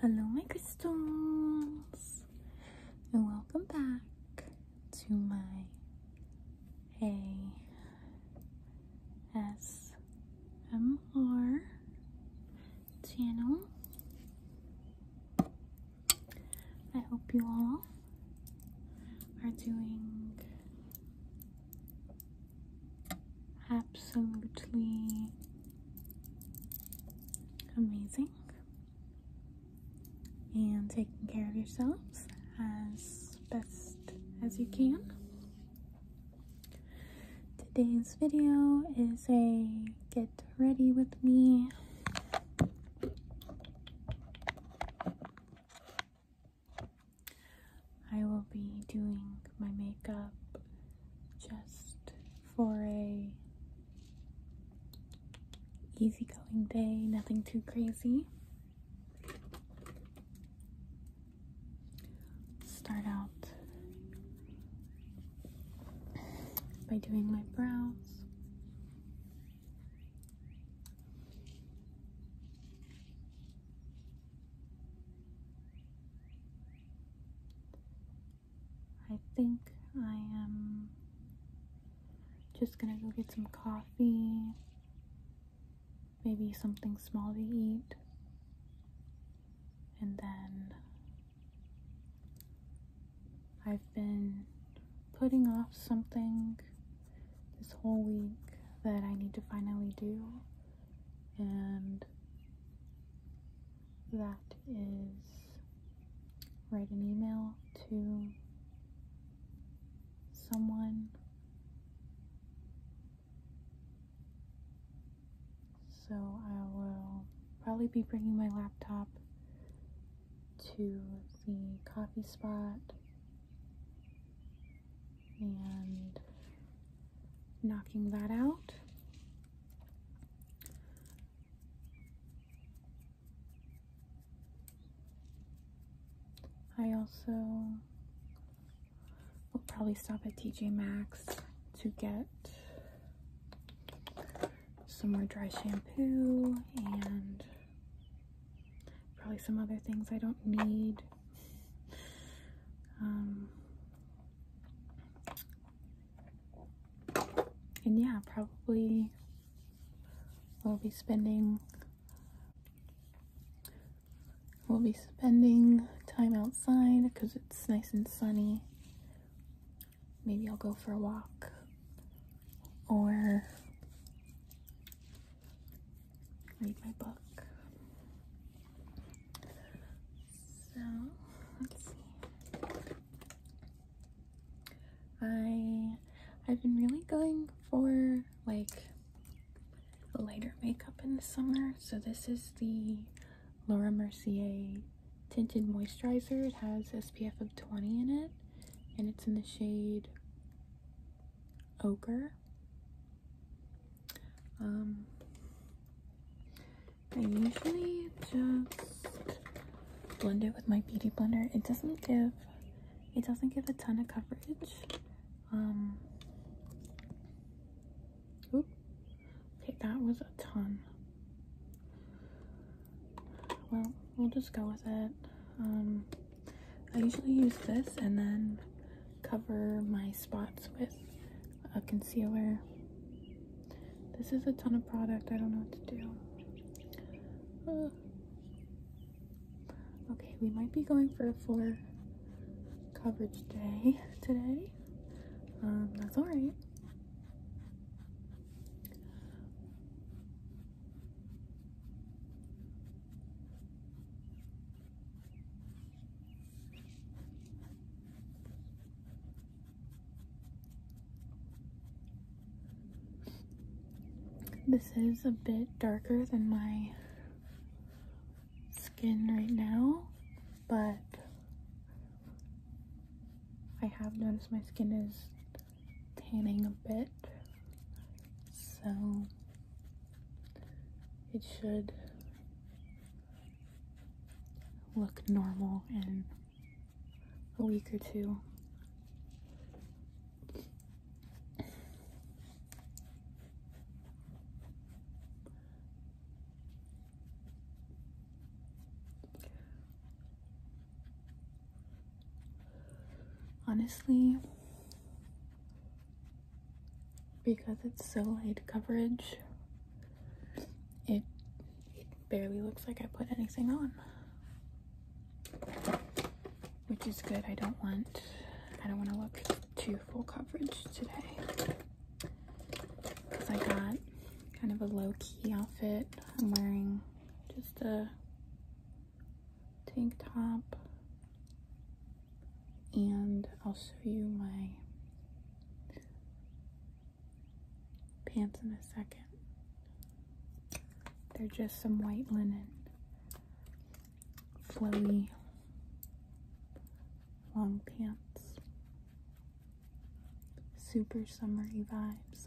Hello, my crystals, and welcome back to my ASMR channel. I hope you all are doing absolutely amazing and taking care of yourselves as best as you can. Today's video is a get ready with me I will be doing my makeup just for a easygoing day, nothing too crazy. Start out by doing my brows. I think I am just gonna go get some coffee, maybe something small to eat, and then I've been putting off something this whole week that I need to finally do, and that is write an email to someone. So I will probably be bringing my laptop to the coffee spot and knocking that out. I also will probably stop at TJ Maxx to get some more dry shampoo and Probably some other things I don't need. Um, and yeah, probably we'll be spending we'll be spending time outside because it's nice and sunny. Maybe I'll go for a walk or read my book. So let's see. I I've been really going for like lighter makeup in the summer. So this is the Laura Mercier tinted moisturizer. It has SPF of 20 in it and it's in the shade ochre. Um, I usually just blend it with my beauty blender. It doesn't give it doesn't give a ton of coverage. Um, oops. Okay, that was a ton. Well, we'll just go with it. Um, I usually use this and then cover my spots with a concealer. This is a ton of product. I don't know what to do. Okay, we might be going for a fuller coverage day today. Um, that's alright. This is a bit darker than my skin right now, but I have noticed my skin is tanning a bit. So it should look normal in a week or two honestly because it's so light coverage it barely looks like I put anything on which is good I don't want I don't want to look too full coverage today because I got kind of a low-key outfit I'm wearing just a tank top and I'll show you my pants in a second. They're just some white linen, flowy, long pants. Super summery vibes.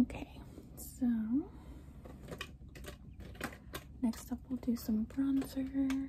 Okay, so next up we'll do some bronzer.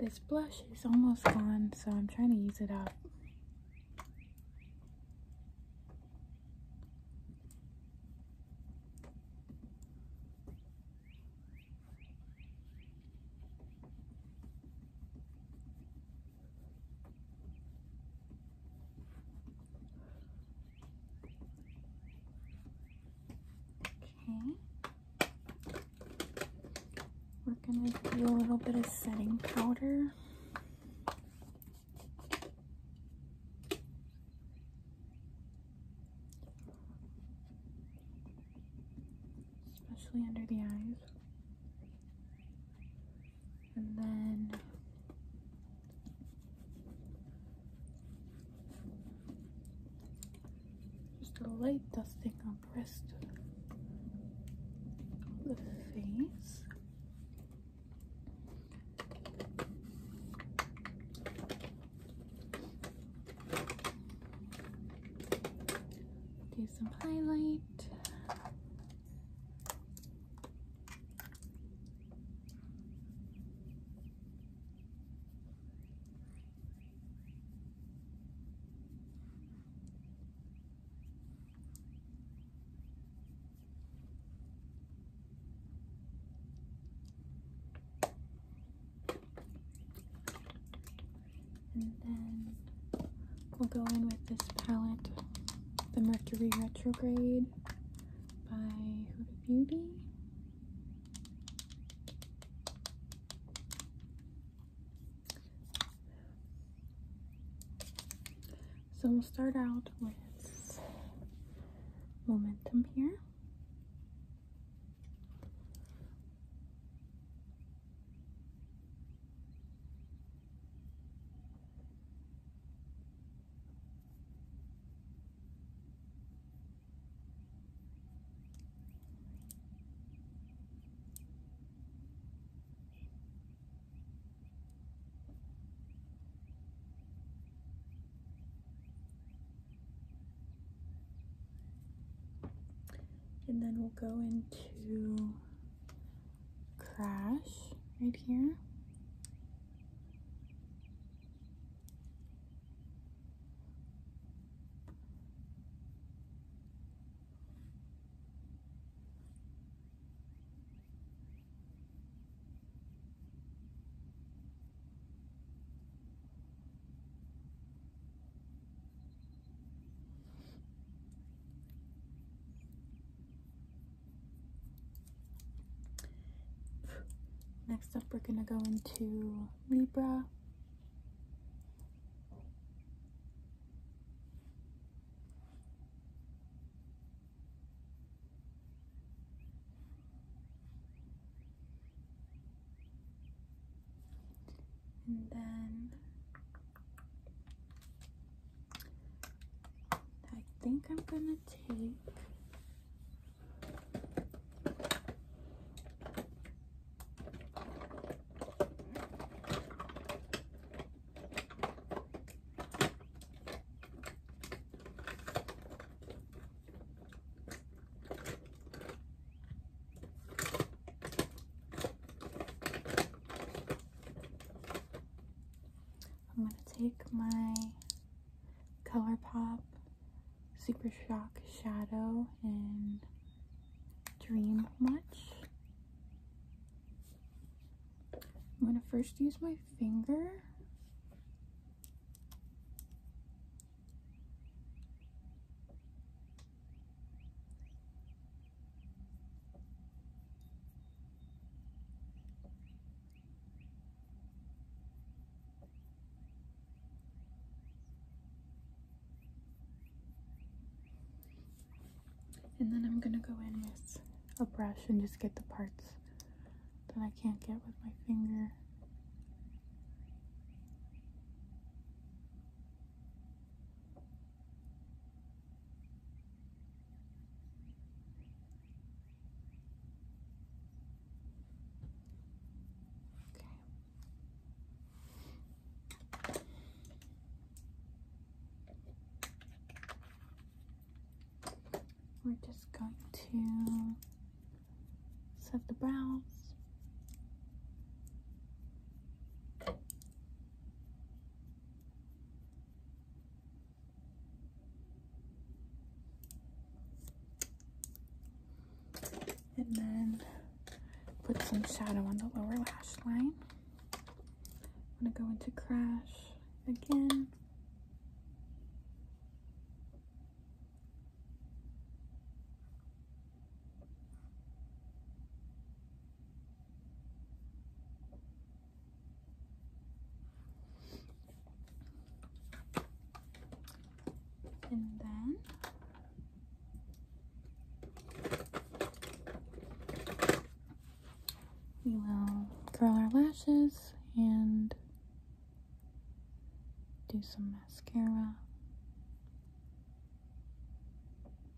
this blush is almost gone, so I'm trying to use it up. Okay. We're going to do a little bit of setting powder. Especially under the eyes and then just a light dusting on the of the face. Do some highlight. And then we'll go in with this palette, the Mercury Retrograde by Huda Beauty. So we'll start out with momentum here. And then we'll go into crash right here. Next up, we're going to go into Libra. And then I think I'm gonna take I'm going to take my ColourPop Super Shock Shadow in Dream Much. I'm going to first use my finger. And then I'm gonna go in with a brush and just get the parts that I can't get with my finger. We're just going to set the brows. And then put some shadow on the lower lash line. I'm going to go into Crash again and then we will curl our lashes and do some mascara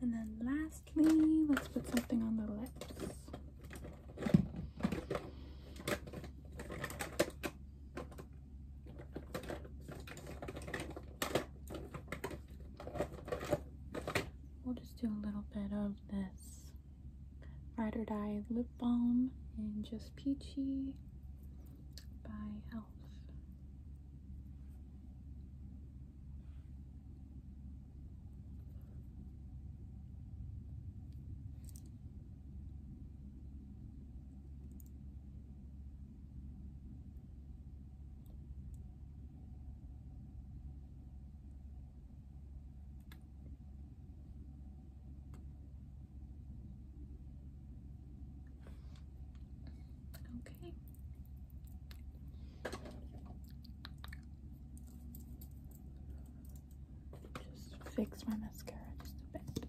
And then lastly, let's put something on the lips. We'll just do a little bit of this Ride or Die Lip Balm in Just Peachy by e.l.f. Okay. Just fix my mascara just a bit.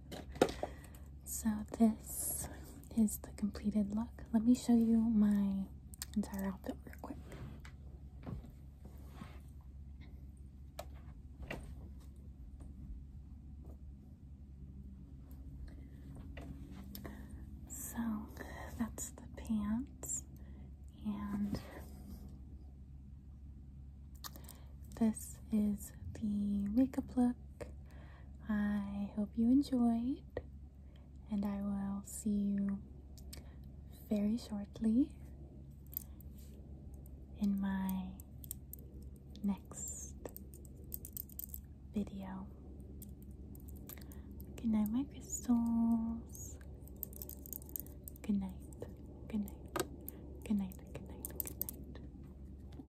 so this is the completed look. Let me show you my entire outfit real quick. So that's the pants and this is the makeup look I hope you enjoyed, and I will see you very shortly in my next video. Good night, my crystals. Good night. Good night. Good night. Good night. Good night.